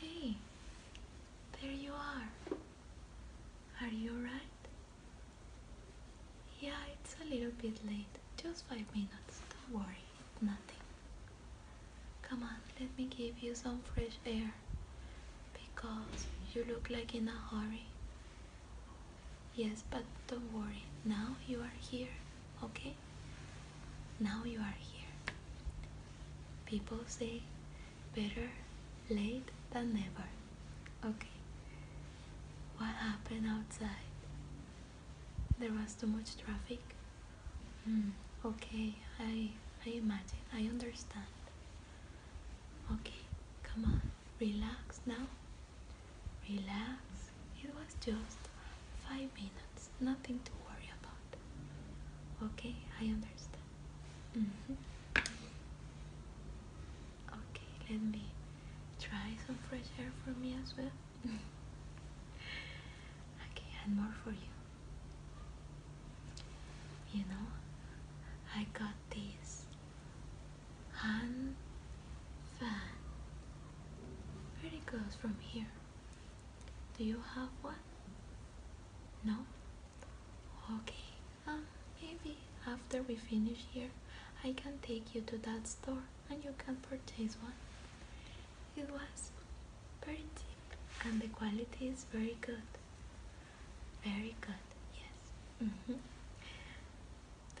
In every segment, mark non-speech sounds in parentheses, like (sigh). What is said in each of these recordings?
Hey, there you are. Are you alright? Yeah, it's a little bit late. Just five minutes. Don't worry, nothing. Come on, let me give you some fresh air because you look like in a hurry. Yes, but don't worry. Now you are here, okay? Now you are here. People say better late than never. Okay. What happened outside? There was too much traffic. Mm, okay, I, I imagine, I understand. Okay, come on, relax now. Relax. It was just five minutes, nothing to worry about. Okay, I understand. Mm-hmm. Okay, let me try some fresh air for me as well. (laughs) okay, and more for you. You know, I got this hand fan. Pretty close from here. Do you have one? No? Okay, um, maybe after we finish here, I can take you to that store and you can purchase one. It was very cheap, and the quality is very good. Very good, yes. Mm-hmm.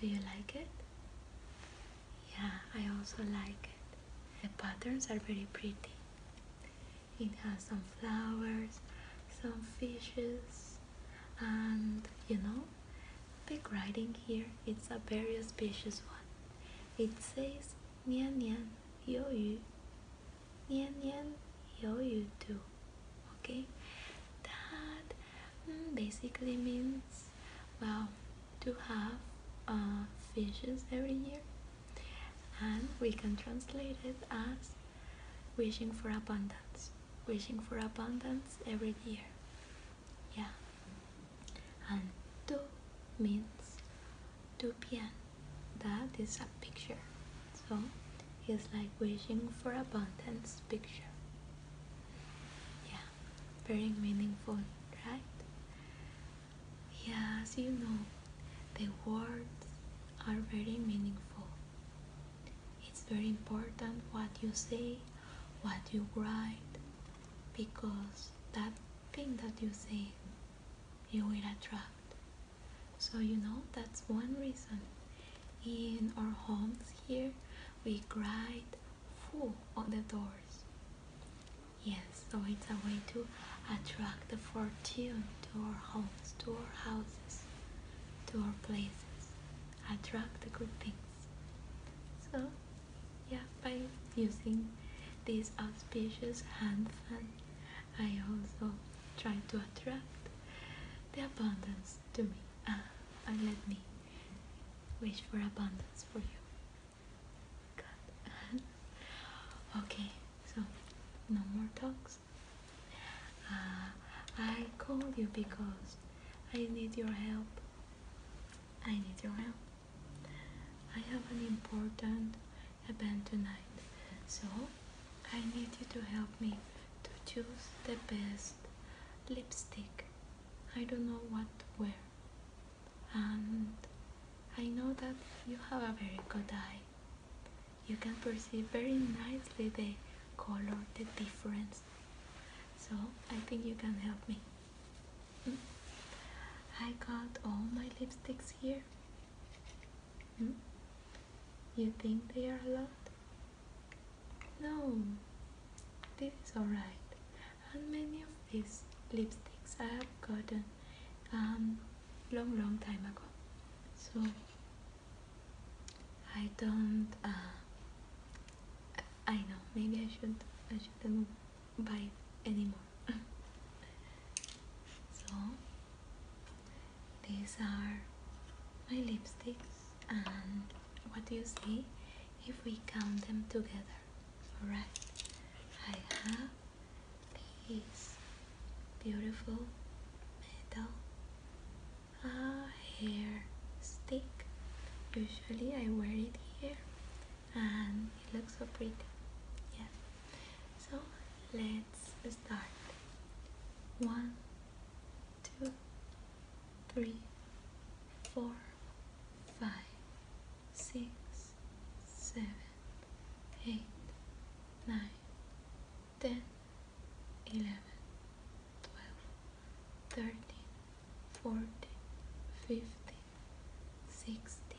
Do you like it? Yeah, I also like it. The patterns are very pretty. It has some flowers, some fishes, and you know, big writing here. It's a very auspicious one. It says Nian Nian Yu Yu you 年年有余 do. Okay, that mm, basically means well to have uh, fishes every year, and we can translate it as wishing for abundance, wishing for abundance every year. Yeah, and do means 2 p.m. That is a picture. So it's like wishing for abundance picture. Yeah, very meaningful, right? Yeah, as you know, the words are very meaningful. It's very important what you say, what you write, because that thing that you say you will attract. So, you know, that's one reason. In our homes here, we write "full" on the doors. Yes, so it's a way to attract the fortune to our homes, to our houses, to our places. Attract the good things. So, yeah, by using these auspicious hands and. I also try to attract the abundance to me ah, and let me wish for abundance for you. (laughs) okay, so no more talks. Ah, I called you because I need your help. I need your help. I have an important a band tonight. So I need you to help me to choose the best lipstick. I don't know what to wear. And I know that you have a very good eye. You can perceive very nicely the color, the difference. So I think you can help me. Hmm? I got all my lipsticks here Hmm? You think they are a lot? No, this is alright. And many of these lipsticks I have gotten um long long time ago. So I don't uh, I know maybe I should I shouldn't buy anymore (laughs) so these are my lipsticks and what do you see if we count them together alright I have these beautiful metal uh, hair stick usually I wear it here and it looks so pretty yeah so let's start. One, two, three, four, five, six, seven, eight, nine, ten, eleven, twelve, thirteen, fourteen, fifteen, sixteen.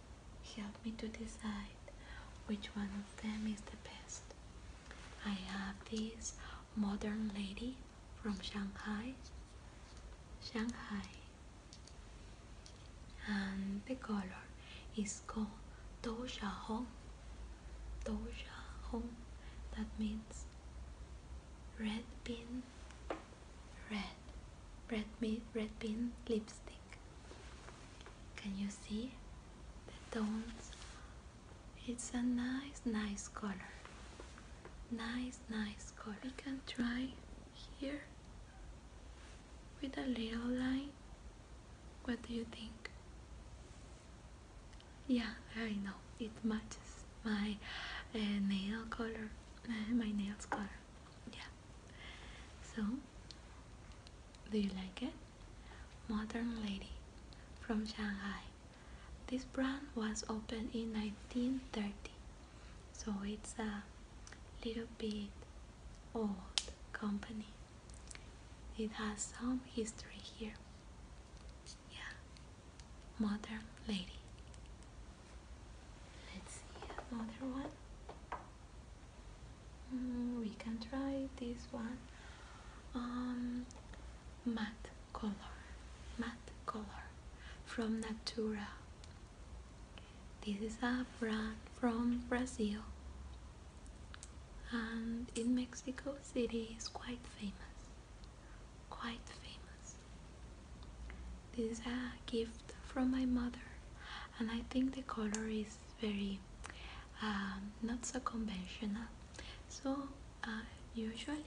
Help me to decide which one of them is the best. I have this modern lady from Shanghai. Shanghai. And the color is called Doja Hong. Doja Hong. That means red pin, red, red, red pin lipstick. Can you see the tones? It's a nice, nice color. Nice, nice color. We can try here with a little line. What do you think? Yeah, I know. It matches my uh, nail color, uh, my nails color. Yeah. So, do you like it? Modern Lady from Shanghai. This brand was opened in 1930, so it's a little bit old company. It has some history here. Yeah, Modern Lady. Let's see another one. Mm, we can try this one. Um, matte color, matte color from Natura. This is a brand from Brazil, and in Mexico City is quite famous. Quite famous. This is a gift from my mother, and I think the color is very um, not so conventional so uh, usually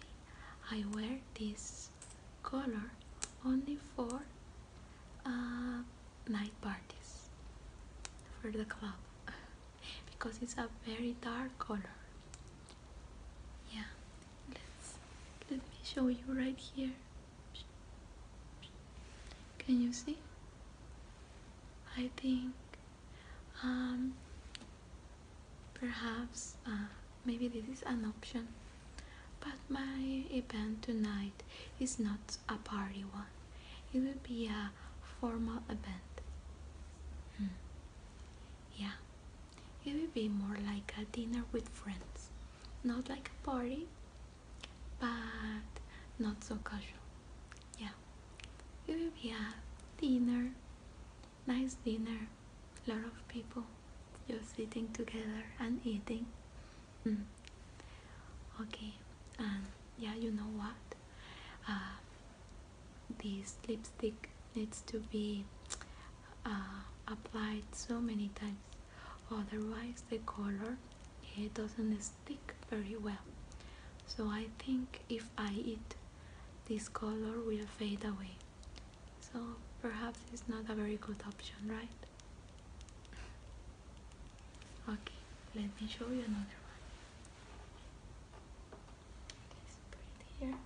I wear this color only for uh, night parties for the club (laughs) because it's a very dark color yeah let me show you right here can you see I think um, perhaps uh, maybe this is an option but my event tonight is not a party one it will be a formal event hmm. yeah it will be more like a dinner with friends not like a party but not so casual. Yeah, we will be a dinner, nice dinner, lot of people just sitting together and eating. Mm. Okay, and yeah, you know what? Uh, this lipstick needs to be uh, applied so many times, otherwise the color it doesn't stick very well. So I think if I eat, this color will fade away. So perhaps it's not a very good option, right? Okay, let me show you another one. Let's put it here.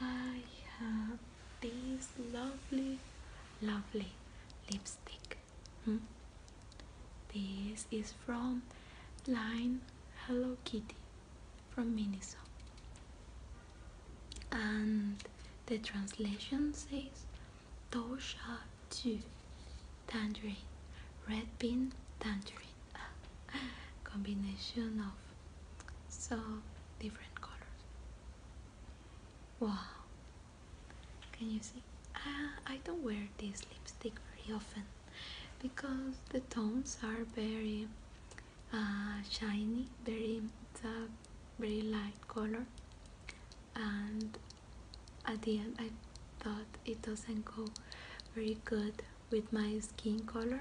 I have this lovely, lovely lipstick. Hmm? This is from line Hello Kitty from Minnesota, And the translation says Tosha tu tangerine, red Pin tangerine, (laughs) combination of so different colors. Wow, can you see? Ah, I don't wear this lipstick very often because the tones are very uh, shiny, very very light color, and at the end I thought it doesn't go very good with my skin color.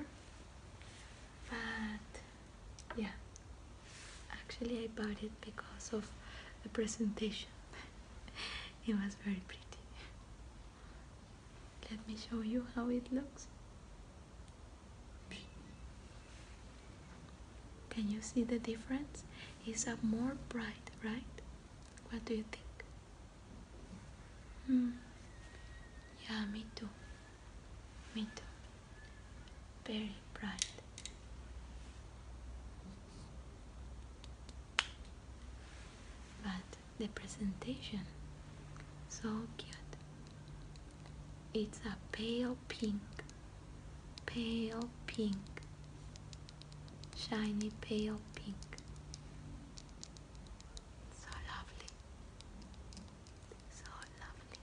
But yeah, Actually, I bought it because of the presentation. (laughs) it was very pretty. Let me show you how it looks. Can you see the difference? It's a more bright, right? What do you think? Hmm. Yeah, me too. Me too. Very bright. But the presentation, so cute. It's a pale pink, pale pink, shiny pale pink. So lovely, so lovely.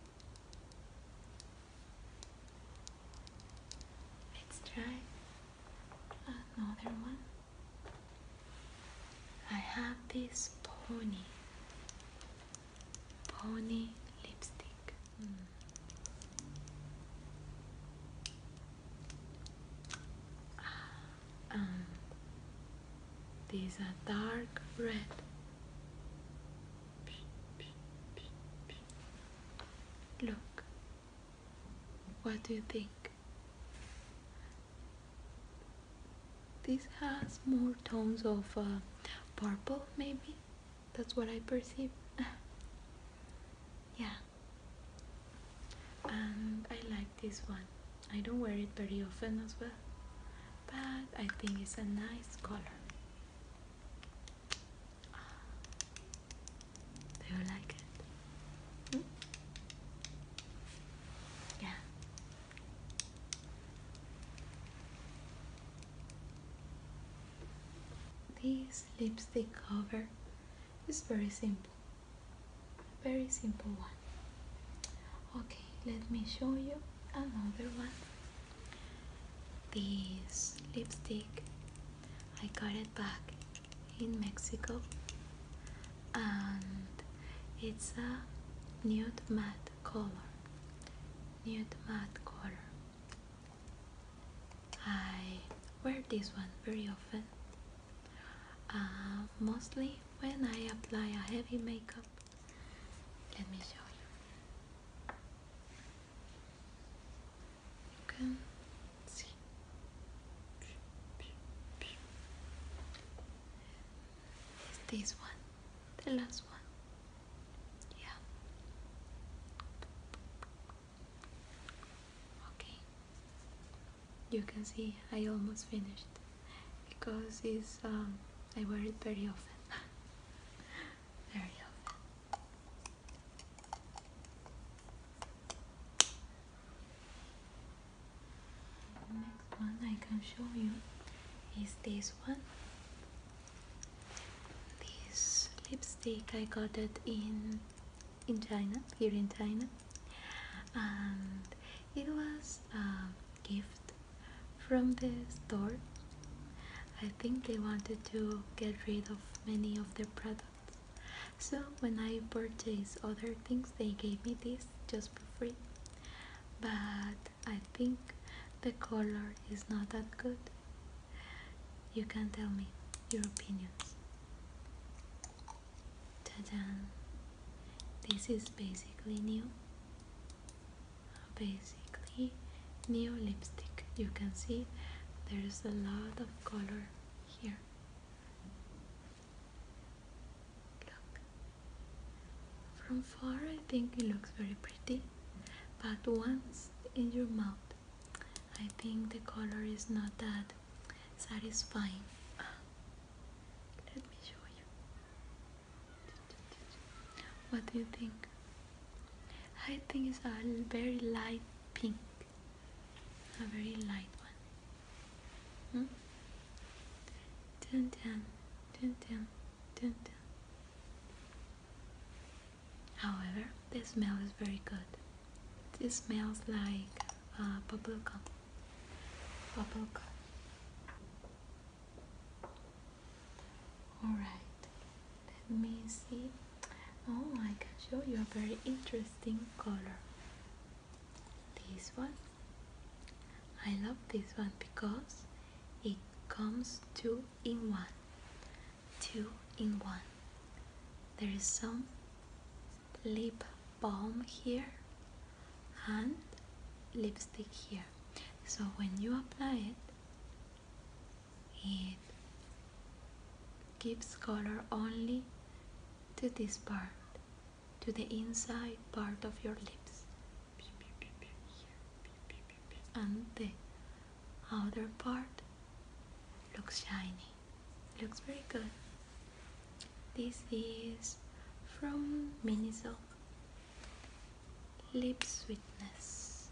Let's try another one. I have this pony, pony lipstick. Mm. Ah, um, these are dark red Look, what do you think? This has more tones of uh, purple, maybe? That's what I perceive. (laughs) yeah. And I like this one. I don't wear it very often as well, but I think it's a nice color. Uh, do you like it? Hmm? Yeah. This lipstick cover is very simple, very simple one. Okay, let me show you another one. This lipstick I got it back in Mexico and it's a nude matte color nude matte color I wear this one very often uh, mostly when I apply a heavy makeup let me show you you can see this one the last one yeah okay you can see I almost finished because it's um, I wear it very often (laughs) very often Next one I can show you is this one. This lipstick I got it in in China, here in China, and it was a gift from the store I think they wanted to get rid of many of their products. So when I purchased other things, they gave me this just for free. But I think the color is not that good. You can tell me your opinions. ta This is basically new. Base basically new lipstick you can see there's a lot of color here look from far I think it looks very pretty but once in your mouth I think the color is not that satisfying let me show you what do you think I think it's a very light pink, a very light one. Hmm? However, the smell is very good. It smells like uh, bubblegum. Bubblegum. All right, let me see. Oh, I can show oh, you a very interesting color. This one. I love this one because it comes two in one. Two in one. There is some lip balm here and lipstick here. So when you apply it, it gives color only to this part, to the inside part of your lips and the outer part looks shiny, looks very good. This is from Miniso Lip Sweetness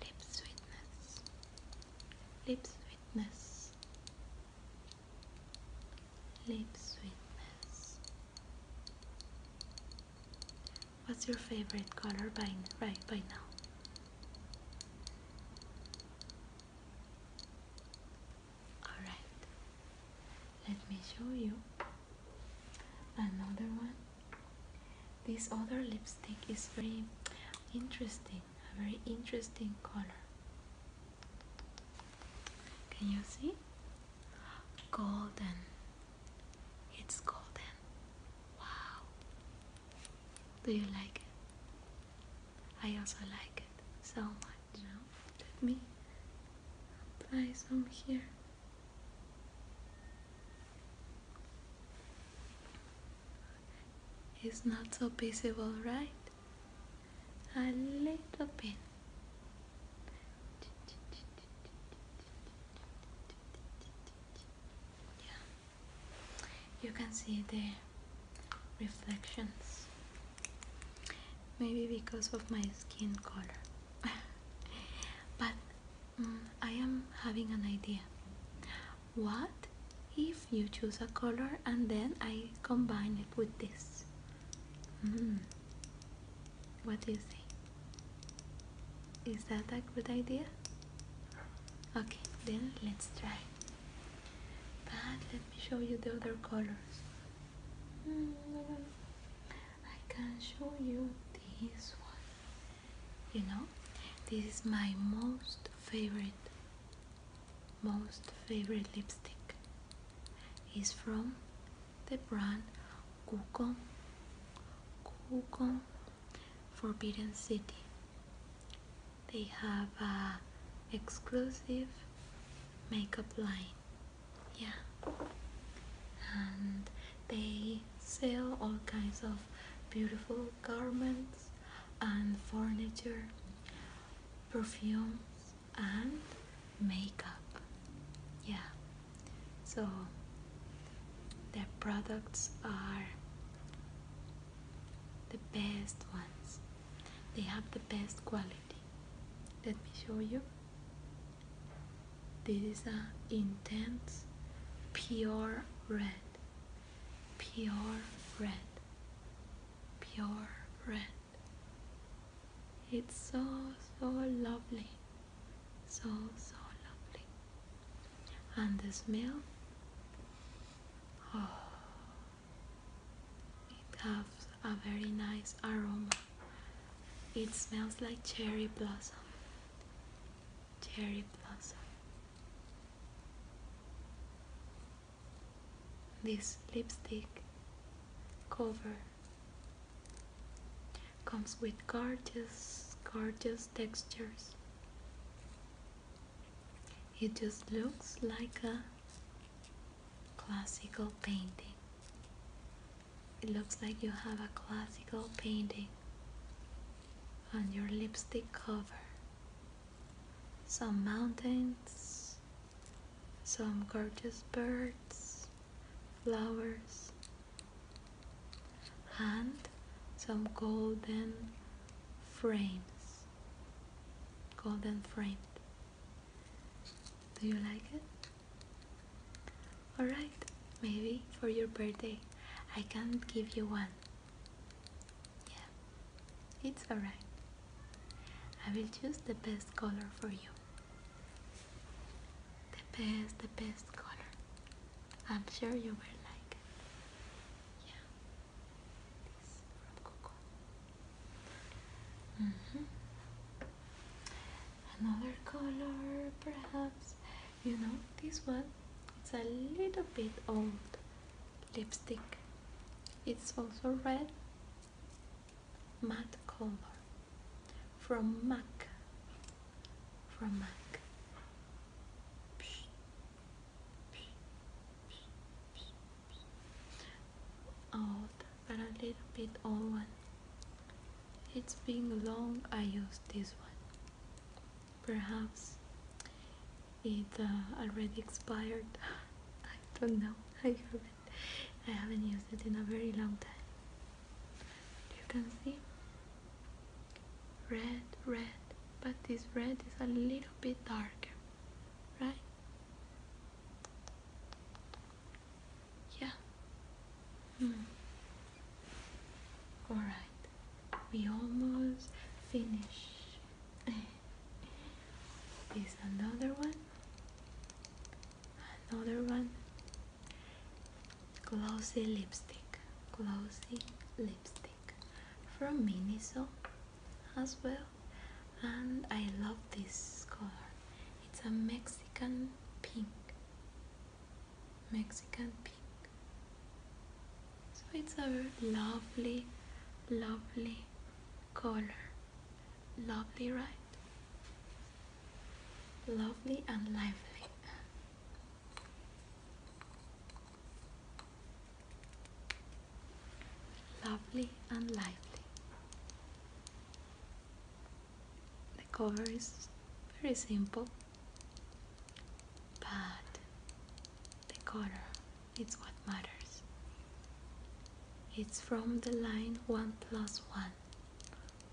lip sweetness, lip sweetness, lip sweetness. What's your favorite color by right by now? All right. Let me show you another one. This other lipstick is very interesting, a very interesting color. Can you see? Golden. It's golden. Wow. Do you like it? I also like it so much. Now let me apply some here. It's not so visible, right? A little bit. You can see the reflections. Maybe because of my skin color. (laughs) but Mm, I am having an idea. What if you choose a color and then I combine it with this? Mm. What do you say? Is that a good idea? Okay, then let's try. But let me show you the other colors. Mm, I can show you this one you know this is my most favorite most favorite lipstick is from the brand Kuko Kuko Forbidden City they have a exclusive makeup line yeah and they sell all kinds of beautiful garments and furniture, perfumes and makeup. Yeah, so their products are the best ones. They have the best quality. Let me show you. This is an intense pure red. Pure red. Pure red. It's so so lovely. So so lovely. And the smell oh it has a very nice aroma. It smells like cherry blossom cherry blossom. This lipstick cover comes with gorgeous, gorgeous textures. It just looks like a classical painting. It looks like you have a classical painting on your lipstick cover. Some mountains, some gorgeous birds, flowers, and some golden frames. Golden framed. Do you like it? Alright, maybe for your birthday I can give you one. Yeah, it's alright. I will choose the best color for you. The best, the best color. I'm sure you will like Yeah. This from Coco. Mm-hmm. Another color, perhaps you know this one it's a little bit old lipstick it's also red matte color from MAC from MAC old but a little bit old one it's been long I use this one Perhaps it uh, already expired. (laughs) I don't know. (laughs) I haven't. used it in a very long time. You can see red, red, but this red is a little bit darker, right? Yeah. Mm. Alright, we almost finish. (laughs) Is another one, another one. Glossy lipstick, glossy lipstick from Miniso as well. And I love this color, it's a Mexican pink. Mexican pink. So it's a lovely, lovely color. Lovely, right? Lovely and lively. Lovely and lively. The cover is very simple but the color is what matters. It's from the line 1 plus 1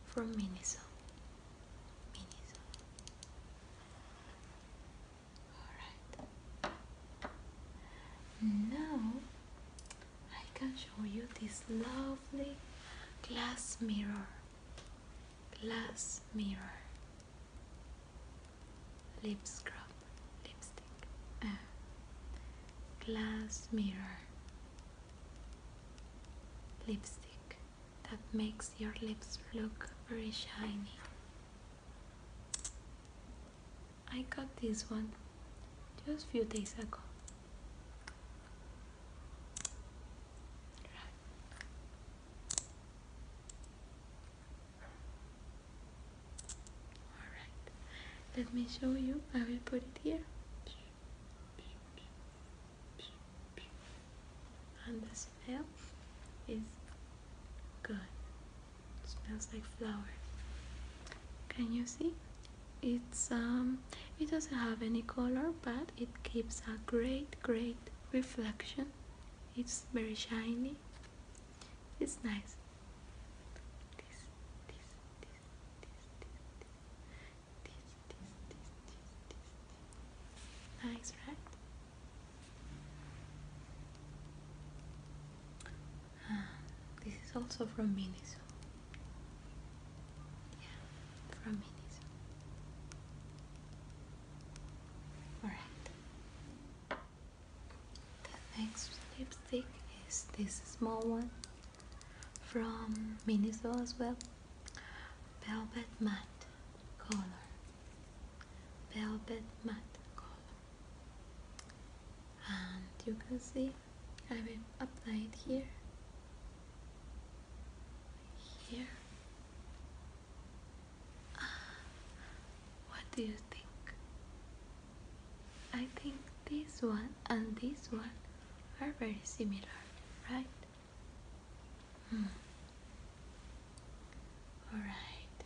from Miniso. Miniso. Alright. Now I can show you this lovely glass mirror glass mirror lip scrub lipstick uh, glass mirror lipstick that makes your lips look very shiny I got this one just few days ago Alright, let me show you. I will put it here. And the smell is good. smells like flower. Can you see? It's um it doesn't have any color but it gives a great great reflection it's very shiny it's nice this nice right this is also from Miniso yeah from Miniso Alright. The next lipstick is this small one from Minnesota as well. Velvet matte color. Velvet matte color. And you can see I will apply it here here. what do you think? I think this one and this one are very similar, right? Hmm. Alright,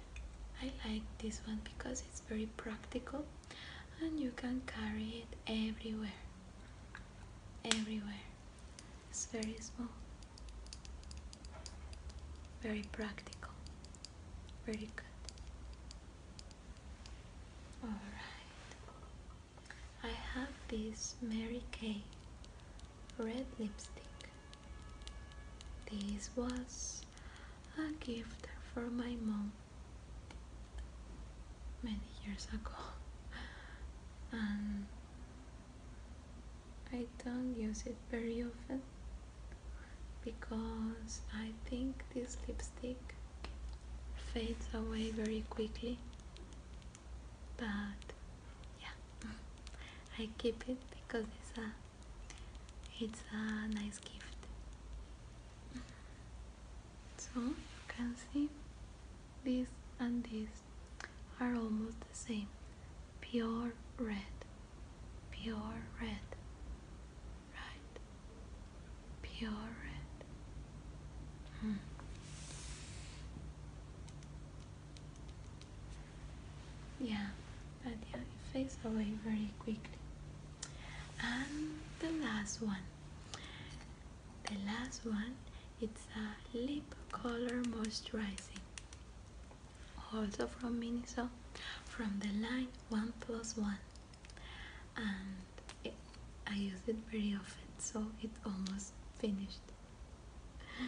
I like this one because it's very practical and you can carry it everywhere. Everywhere. It's very small, very practical, very good. Alright, I have this Mary Kay red lipstick. This was a gift for my mom many years ago (laughs) and I don't use it very often because I think this lipstick fades away very quickly but yeah (laughs) I keep it because it's a it's a nice gift so you can see this and this are almost the same. Pure red, pure red, right? Pure red. Hmm. Yeah, but yeah, it fades away very quickly. And the last one the last one it's a lip color moisturizing also from Miniso from the line 1 plus 1 and I use it very often so it's almost finished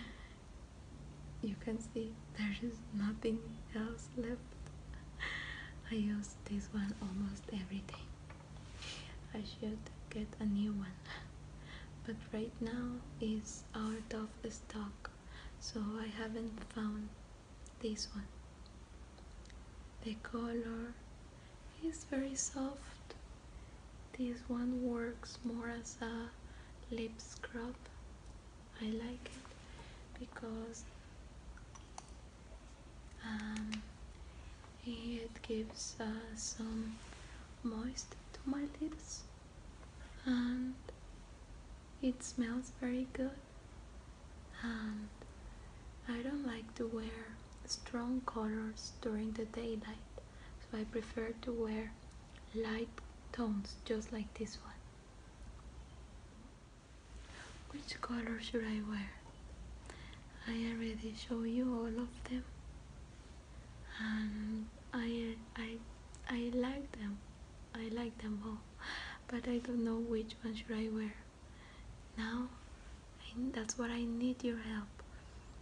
(laughs) you can see there is nothing else left (laughs) I use this one almost every day I should get a new one (laughs) but right now is out of stock so I haven't found this one the color is very soft this one works more as a lip scrub I like it because um, it gives us uh, some moisture to my lips and it smells very good and I don't like to wear strong colors during the daylight so I prefer to wear light tones just like this one which color should I wear? I already show you all of them um, I I I like them. I like them all, but I don't know which one should I wear. Now, that's why I need your help.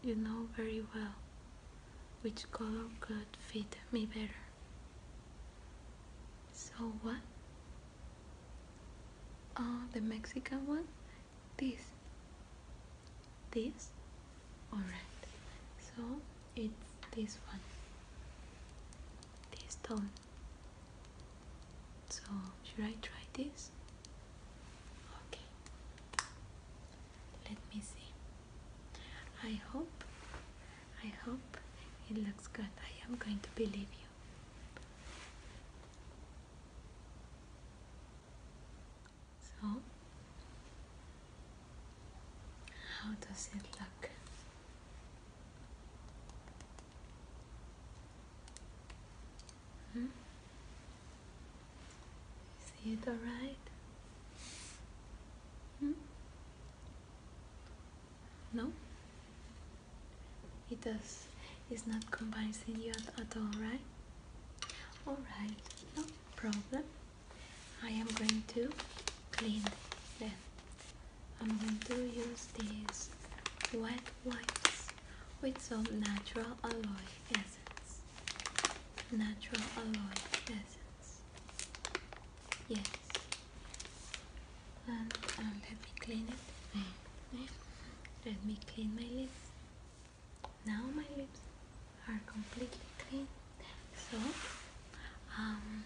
You know very well which color could fit me better. So what? Oh, the Mexican one? This this alright so it's this one this tone so should I try this okay let me see I hope I hope it looks good I am going to believe you so, how does it look? Hmm? Is it alright? Hmm? No? It does. It's not convincing you at, at all, right? Alright. No? problem I am going to clean them I'm going to use these wet wipes with some natural alloy essence natural alloy essence yes and let me clean it mm. let me clean my lips now my lips are completely clean. So um,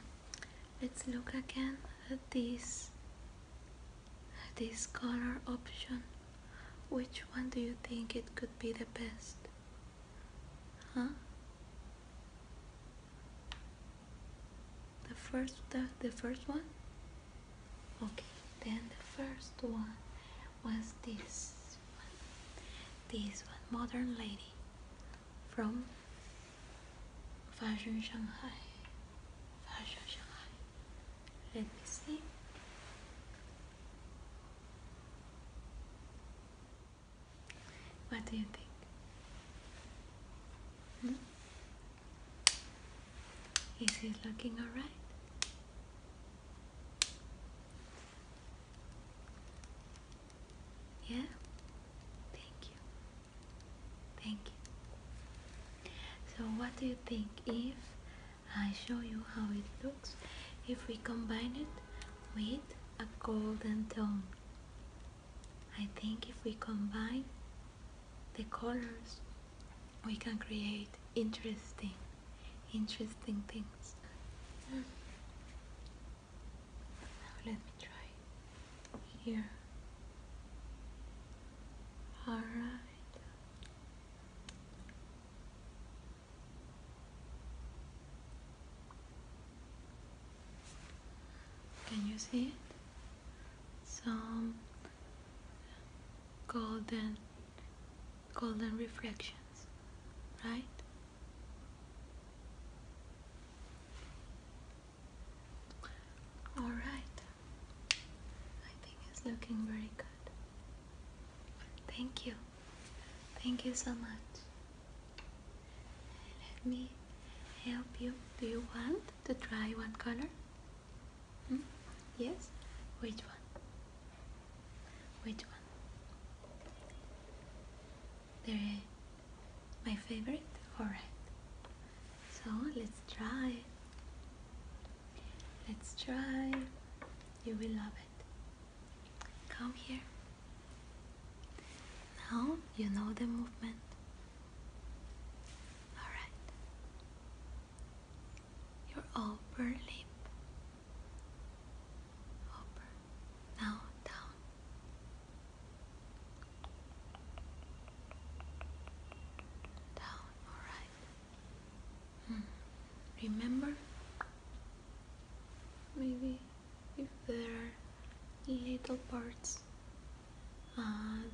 let's look again at this this color option. Which one do you think it could be the best? Huh? The first the, the first one? Okay, then the first one was this this one modern lady from fashion Shanghai fashion Shanghai let me see what do you think? Hmm? Is he looking alright? Yeah? Thank you. Thank you. So what do you think if I show you how it looks if we combine it with a golden tone? I think if we combine the colors we can create interesting interesting things. let me try here. Alright. Can you see it? Some golden golden reflections, right? All right, I think it's looking very good. Thank you, thank you so much. Let me help you. Do you want to try one color? Hmm? Yes? Which one? Which one? my favorite? Alright. So let's try. Let's try. You will love it. Come here. Now you know the movement. Alright. Your upper lip up, now, down. Down, alright. Hmm, remember? Maybe if there are little parts uh,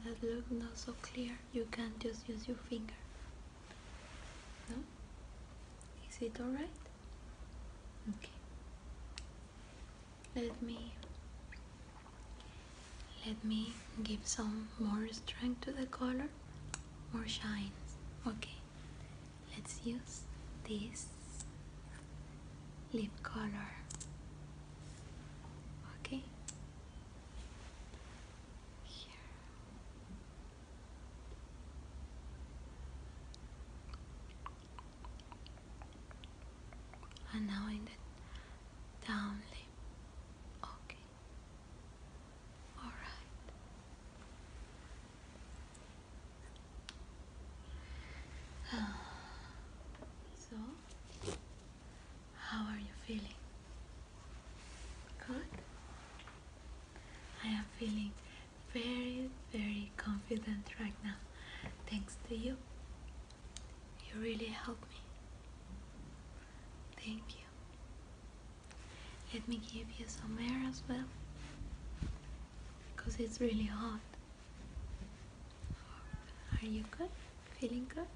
that look not so clear, you can just use your finger. No? Is it alright? Okay. Let me let me give some more strength to the color, more shine. Okay. Let's use this lip color. Okay. Here and knowing that down okay all right uh, so how are you feeling Good. I am feeling very, very confident right now. Thanks to you. You really helped me. Thank you. Let me give you some air as well. Because it's really hot. Are you good? Feeling good?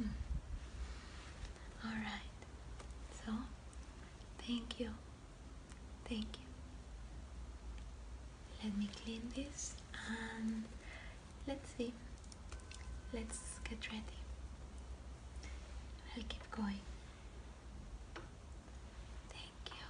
Mm. All right. So, thank you. Thank you. Let me clean this and let's see. Let's get ready. I'll keep going. Thank you.